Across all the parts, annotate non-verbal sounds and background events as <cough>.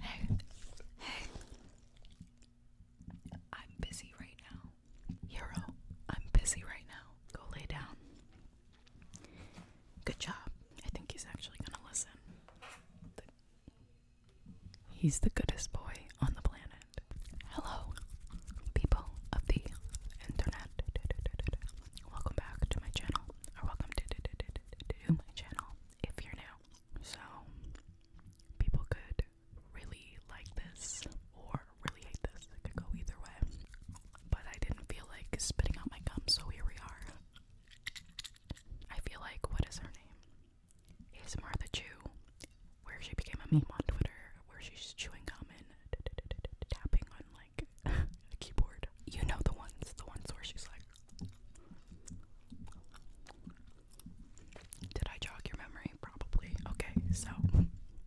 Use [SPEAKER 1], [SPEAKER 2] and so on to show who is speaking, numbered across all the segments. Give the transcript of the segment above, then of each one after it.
[SPEAKER 1] Hey, hey. I'm busy right now. Hero, I'm busy right now. Go lay down. Good job. I think he's actually gonna listen. he's the goodest boy on the planet. Hello, people of the internet. Welcome back to my channel, or welcome to my channel if you're new. So people could really like this or really hate this. It could go either way. But I didn't feel like spitting out my gum, so here we are. I feel like what is her name? Is Martha Chew, where she became a meme on Twitter, where she's chewing gum and tapping on like <laughs> a keyboard. You know the ones, the ones where she's like did I jog your memory? Probably. Okay, so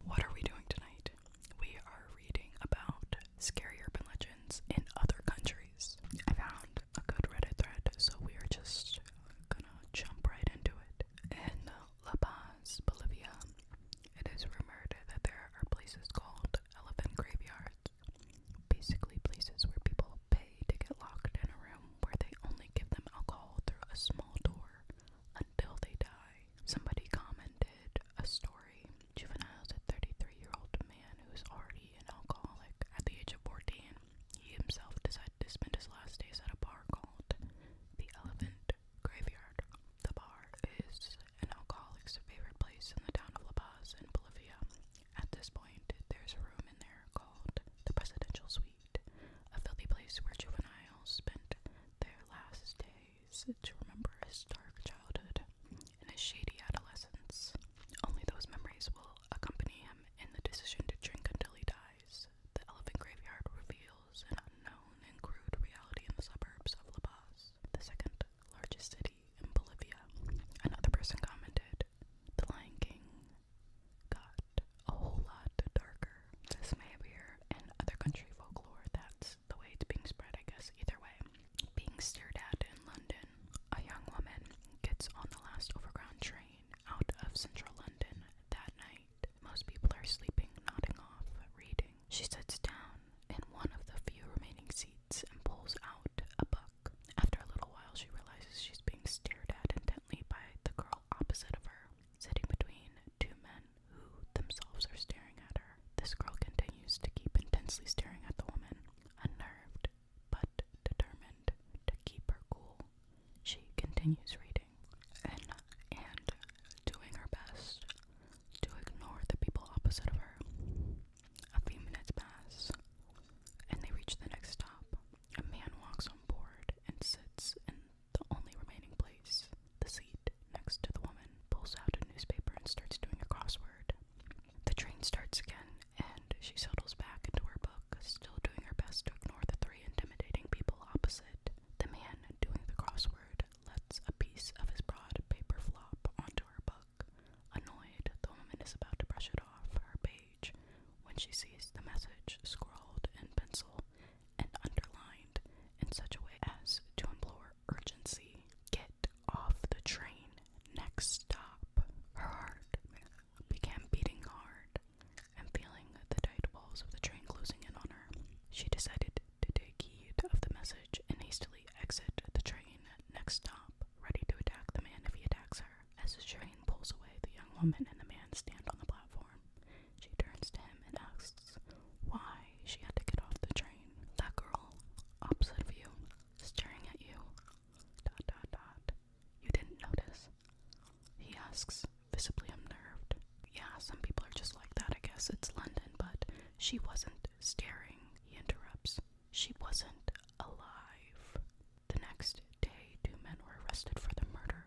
[SPEAKER 1] what are we doing tonight? We are reading about scary urban legends in other countries. I found a good Reddit thread, so we are just gonna jump right into it. In La Paz, Bolivia, it is rumored that there are places called elephant graveyards resorts. Basically, places where people pay to get locked in a room where they only give them alcohol through a small door until they die. Somebody commented a story. Juvenile's a 33 year old man who is already an alcoholic at the age of 14. He himself decided to spend his last days at a bar called the Elephant Graveyard. The bar is an alcoholic's favorite place in the town of La Paz in Bolivia. At this point, there's a room in there called the Presidential Suite, a filthy place where juveniles spent their last days to remember his dark childhood and his shady adolescence. Only those memories will accompany him in the decision to drink until he dies. The elephant graveyard reveals an unknown and crude reality in the suburbs of La Paz. The second largest city in Bolivia. Another person commented, The Lion King got a whole lot darker. This may appear in other country folklore. That's the way it's being spread, I guess, either way. Being stared at in London, a young woman gets on the last overground train out of central London that night. Most people are sleeping, nodding off, reading. She sits down in one of the few remaining seats and pulls out a book. After a little while, she realizes she's being stared at intently by the girl opposite of her, sitting between two men who themselves are staring at her. This girl continues to keep intensely staring at the woman, unnerved but determined to keep her cool. She continues reading and, and doing her best to ignore the people opposite of her. A few minutes pass, and they reach the next stop. A man walks on board and sits in the only remaining place, the seat next to the woman, pulls out a newspaper and starts doing a crossword. The train starts again, and she settles back into her book, still doing her best to ignore the three intimidating people opposite. The man doing the crossword lets a piece of his broad paper flop onto her book. Annoyed, the woman is about to brush it off her page when she sees the message scrawled in pencil and underlined in such a way as to implore urgency. Get off the train. Next stop. Her heart began beating hard and feeling the tight walls of the train closing in on her. She decided to take heed of the message and hastily exit the train. Next stop ready to attack the man if he attacks her. As the train pulls away, the young woman and the man stand on the platform. She turns to him and asks why she had to get off the train. That girl, opposite of you, staring at you. Dot dot dot. You didn't notice? He asks, visibly unnerved. Yeah, some people are just like that, I guess. It's London, but she wasn't staring, he interrupts. She wasn't alive. The next day, two men were arrested for the murder.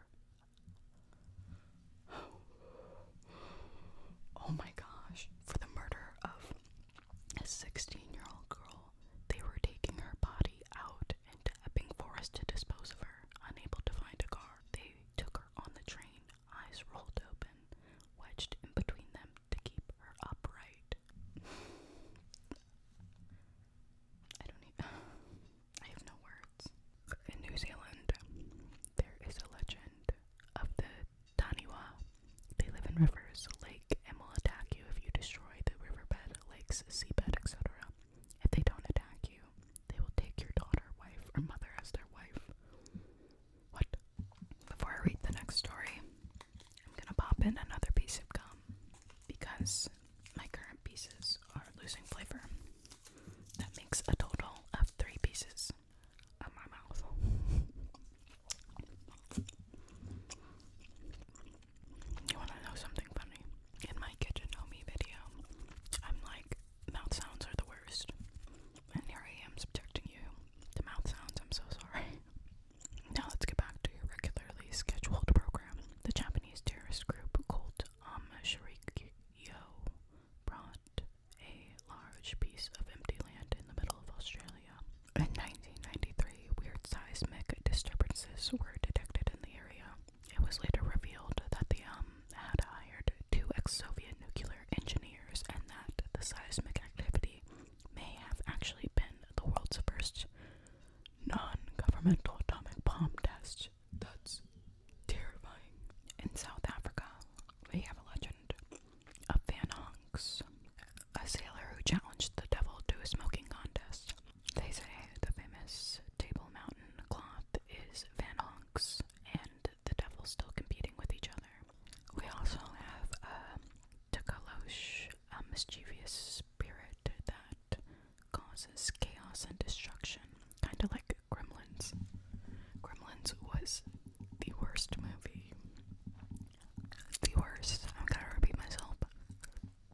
[SPEAKER 1] Oh my gosh, for the murder of a 16 year old girl. They were taking her body out into Epping Forest to dispose of her, unable to find a car. They took her on the train, eyes rolled open. Wedged in between them, to keep her upright. I don't even. <sighs> I have no words. In New Zealand, there is a legend of the Taniwa. They live in rivers, lake, and will attack you if you destroy the riverbed, lakes, seabed, etc. If they don't attack you, they will take your daughter, wife, or mother as their wife. What? Before I read the next story, I'm gonna pop in another piece of gum because my current pieces are losing flavor. That makes a total of three pieces of my mouth. You wanna know something funny? In my kitchen homie video, I'm like, mouth sounds are the worst. And here I am subjecting you The mouth sounds. I'm so sorry. <laughs> Now let's get back to your regularly scheduled program. The Japanese terrorist group called um, brought a large piece of empty land in the middle of Australia. In 1993, weird seismic disturbances were detected in the area. It was later revealed that the um had hired two ex-Soviet nuclear engineers and that the seismic activity may have actually been the world's first non-governmental atomic bomb test. That's terrifying. In South Africa, we have a legend of Van Honks, a sailor who challenged the devil to a smoking contest. They say the famous Table Mountain cloth is Van Honks and the devil still competing with each other. We also have um, a um, mischievous spirit that causes chaos and destruction, kind of like Gremlins. Gremlins was the worst movie. The worst. I'm gonna repeat myself.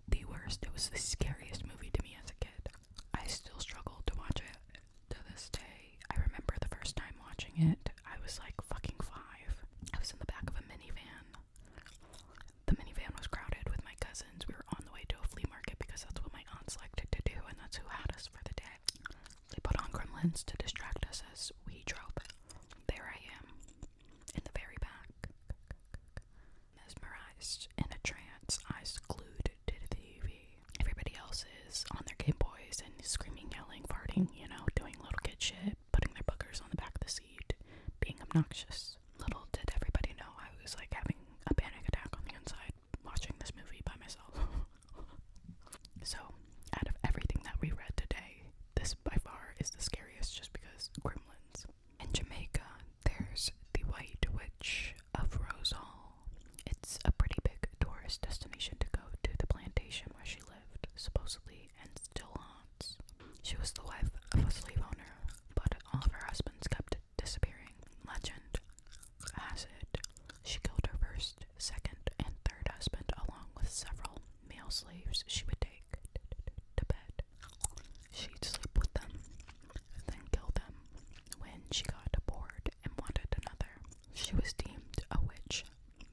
[SPEAKER 1] The worst. It was the scariest movie to me as a kid. I still struggle to watch it to this day. I remember the first time watching it I was like fucking five. I was in the back of a minivan. The minivan was crowded with my cousins. We were on the way to a flea market because that's what my aunts liked to do, and that's who had us for the day. They put on gremlins to distract us as we drove. There I am, in the very back, mesmerized in a trance, eyes glued to the TV. Everybody else is on their Game Boys and screaming, yelling, farting, you know, doing little kid shit putting their boogers on the back of the seat, being obnoxious. Little did everybody know I was like having a panic attack on the inside watching this movie by myself. <laughs> so, out of everything that we read today, this by far is the scariest just because gremlins. In Jamaica, there's the White Witch of Rose Hall. It's a pretty big tourist destination to go to the plantation where she lived. Supposedly, and still haunts. She was the wife of a slave owner, but all of her husbands kept disappearing. Legend has it she killed her first, second, and third husband along with several male slaves she would take to bed. She'd sleep with them, then kill them when she got bored and wanted another. She was deemed a witch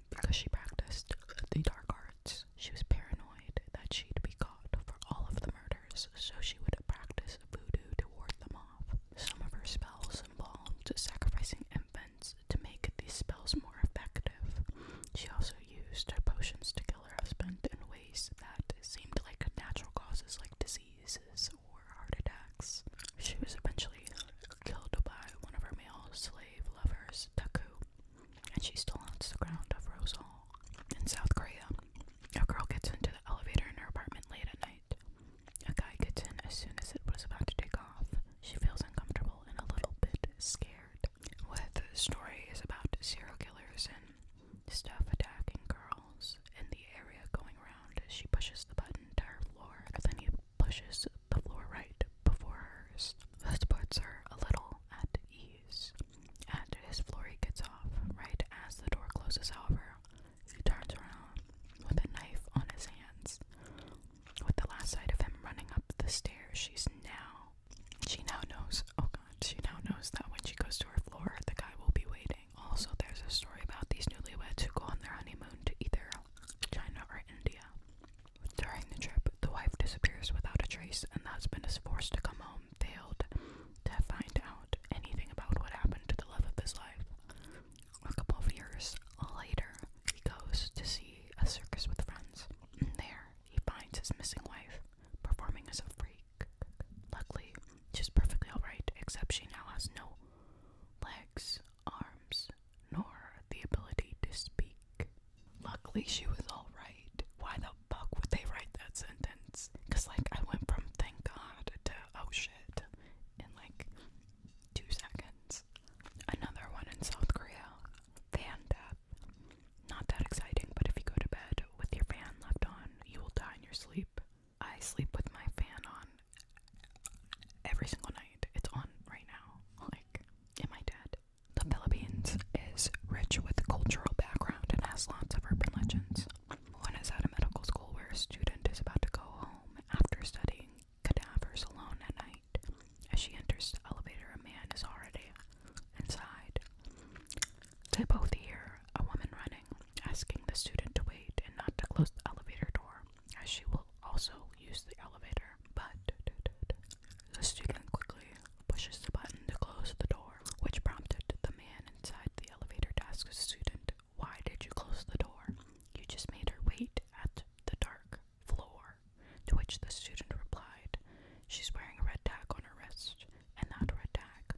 [SPEAKER 1] because she practiced the dark arts. She was paranoid that she'd be caught for all of the murders, so she would practice voodoo to ward them off. Some of her spells involved sacrificing infants to make these spells more effective. She also used potions to kill her husband in ways that seemed like natural causes like diseases or heart attacks. She was eventually killed by one of her male slave lovers, Taku, and she still haunts the ground of Rose Hall in South Korea. A girl gets into the elevator in her apartment late at night. A guy gets in as soon as it was about to take off. She feels uncomfortable and a little bit scared. With the story is about serial killers and stuff attacking girls in the area going around. She pushes the button to her floor, and then he pushes the floor right before hers. This puts her a little at ease. And as floor, gets off. Right as the door closes, however, he turns around with a knife on his hands. With the last sight of him running up the stairs, she's now. She now knows. Oh God! She now knows that when she goes to her floor, the guy will be waiting. Also, there's a story about these newlyweds who go on their honeymoon to either China or India. During the trip, the wife disappears without a trace, and the husband is forced to come home, failed to find out anything about what happened to the love of his life. A couple of years later, he goes to see a circus with friends. And <clears throat> there, he finds his missing wife performing as a freak. Luckily, she's perfectly alright, except she now has no legs, arms, nor the ability to speak. Luckily, she was alright. Why the fuck would they write that sentence? Because, like, I went from thank God to oh shit in like two seconds. Another one in South Korea. Fan death. Not that exciting, but if you go to bed with your fan left on, you will die in your sleep. I sleep with my fan on every single night. It's on right now, like in my dad. The Philippines is rich with cultural background and has lots of urban legends. One is at a medical school where a student is about to go home after studying cadavers alone at night. As she enters the elevator, a man is already inside. They both hear a woman running, asking the student to wait and not to close the elevator door as she will also use the elevator. But the student quickly pushes the button to close the door, which prompted the man inside the elevator to ask the student, Why did you close the door? You just made her wait at the dark floor. To which the student replied, She's wearing a red tag on her wrist, and that red tag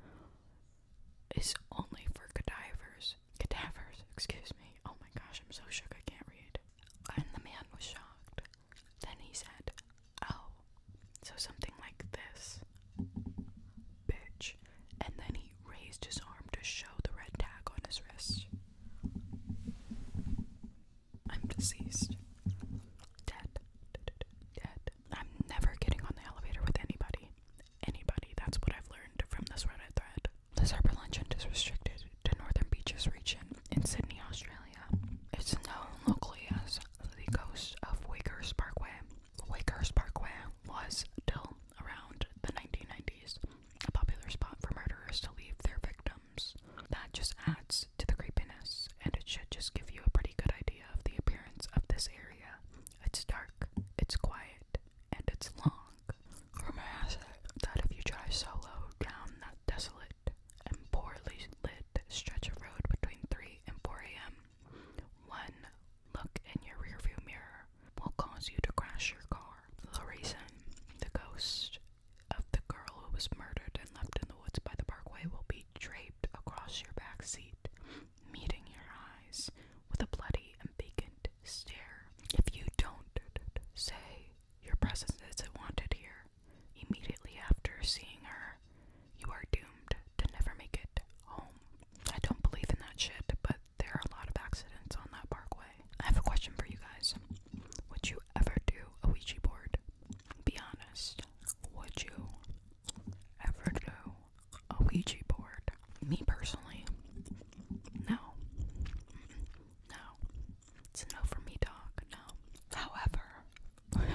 [SPEAKER 1] is only for cadavers cadavers. excuse me. Oh my gosh, I'm so shook I can't read. And the man was shocked. Then he said, Oh, so something like this. Bitch. And then he raised his arm to show the red tag on his wrist. I'm deceased. Dead. Dead. I'm never getting on the elevator with anybody. Anybody. That's what I've learned from this Reddit thread. The serpent luncheon is restricted to Northern Beaches region in Sydney, Australia. It's known locally as the coast of Wakers Parkway. Wakers Parkway was, till around the 1990s, a popular spot for murderers to leave their victims. That just adds to the creepiness, and it should just give you a pretty good idea of the appearance of this area. It's dark, it's quiet, and it's long. Rumor has that if you drive solo down that desolate and poorly lit stretch of road between 3 and 4 a.m., one look in your rearview mirror will cause you to crash your car. The reason the ghost of the girl who was murdered and left in the woods by the parkway will be draped across your back seat, meeting your eyes with a bloody and vacant stare. If you don't say your presence isn't wanted here immediately after seeing her, you are doomed to never make it home. I don't believe in that shit, but there are a lot of accidents on that parkway. I have a question for you guys. Would you ever do a Ouija board? Be honest. Would you ever do a Ouija board? Me personally, no. No. It's no for me, dog. No. However,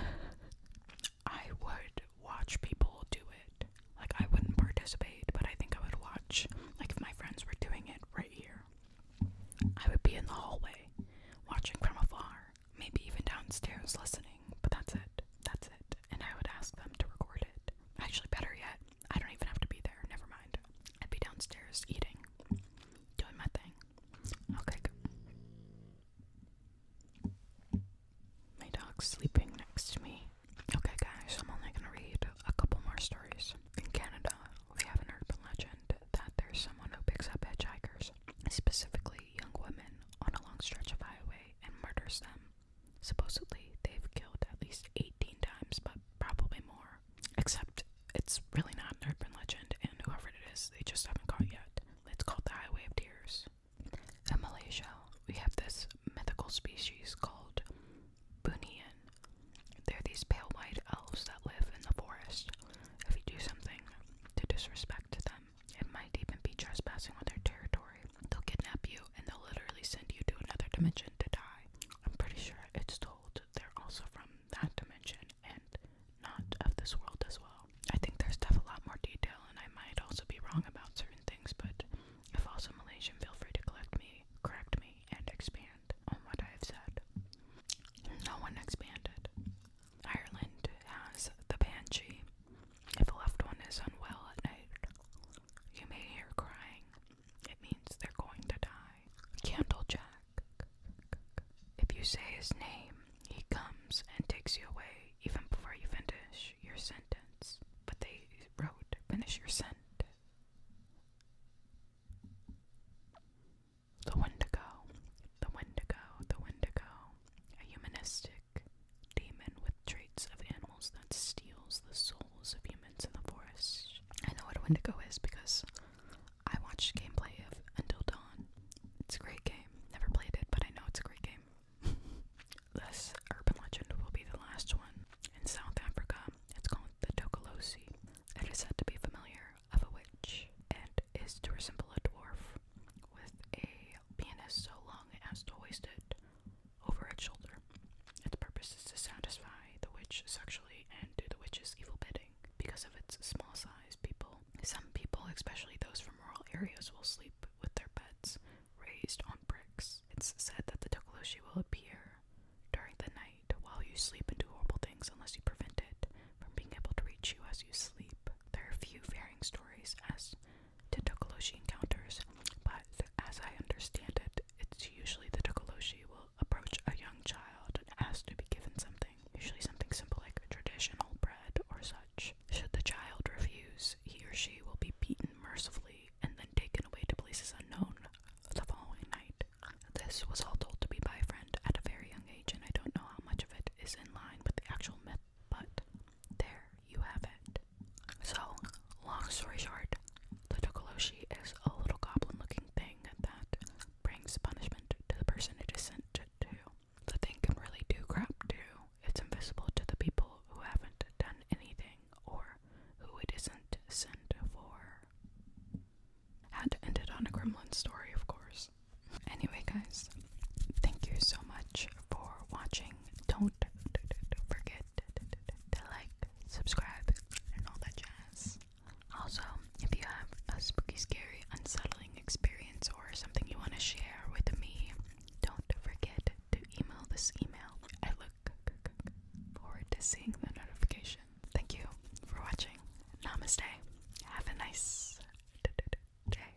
[SPEAKER 1] <laughs> I would watch people do it. Like, I wouldn't participate, but I think I would watch. Like, if my friends were doing it right here, I would be in the hallway, watching from afar, maybe even downstairs listening, but that's it. That's it. And I would ask them to record it. Actually, better yet, I don't even have to be there. Never mind. I'd be downstairs eating, doing my thing. Okay. Good. My dog's sleeping next to me. Okay, guys, I'm only gonna read a couple more stories. In Canada, we have an urban legend that there's someone who picks up hitchhikers, specifically young women, on a long stretch of highway and murders them. Supposedly, they've killed at least 18 times, but probably more. Except it's really not an urban legend, and whoever it is, they just haven't caught yet. It's called the Highway of Tears. In Malaysia, we have this mythical species called Bunian. They're these pale white elves that live in the forest. If you do something to disrespect them, it might even be trespassing on their territory. They'll kidnap you and they'll literally send you to another dimension to die. I'm pretty sure it's told they're also from that dimension and not of this world as well. I think there's definitely a lot more detail, and I might also be wrong about certain things, but if also Malaysian, feel free to collect me, correct me, and expand on what I've said. No one expanded. Ireland has the banshee. If a left one is unwell at night, you may hear crying, it means they're going to die. Candlejack. If you say his name, he comes and takes you away even before you finish your sentence. But they wrote, finish your sentence. The Wendigo, the Wendigo, the Wendigo, a humanistic demon with traits of animals that steals the souls of humans in the forest. I know what a Wendigo is because I watched gameplay of Until Dawn. It's a great game. Never played it, but I know it's a great game. <laughs> this urban legend will be the last one. In South Africa, it's called the Tokolosi. It is said to be familiar of a witch and is to resemble a dwarf with a penis so long as to waste it, over its shoulder. Its purpose is to satisfy the witch sexually and do the witch's evil bidding. Because of its small size, people, some people, especially those from rural areas, will sleep with their beds raised on bricks. It's said that the Tokoloshe will appear during the night while you sleep and do horrible things unless you prevent it from being able to reach you as you sleep. There are few varying stories as to Tokoloshi encounters, but as I understand it, it's usually the Tokoloshi will approach a young child and ask to be given something, usually something simple like traditional bread or such. Should the child refuse, he or she will be beaten mercifully and then taken away to places unknown the following night. This was all told to me by a friend at a very young age, and I don't know how much of it is in line with the actual myth, but there you have it. So, long story short, the Tokoloshe is a little goblin looking thing that brings punishment to the person it is sent to. The thing can really do crap too. It's invisible to the people who haven't done anything or who it isn't sent for. Had to end it on a gremlin story, of course. Anyway, guys, thank you so much for watching. Don't Don't forget to like, subscribe, and all that jazz. Also, if you have a spooky, scary, unsettling experience or something you want to share with me, don't forget to email this email. I look forward to seeing the notification. Thank you for watching. Namaste. Have a nice day.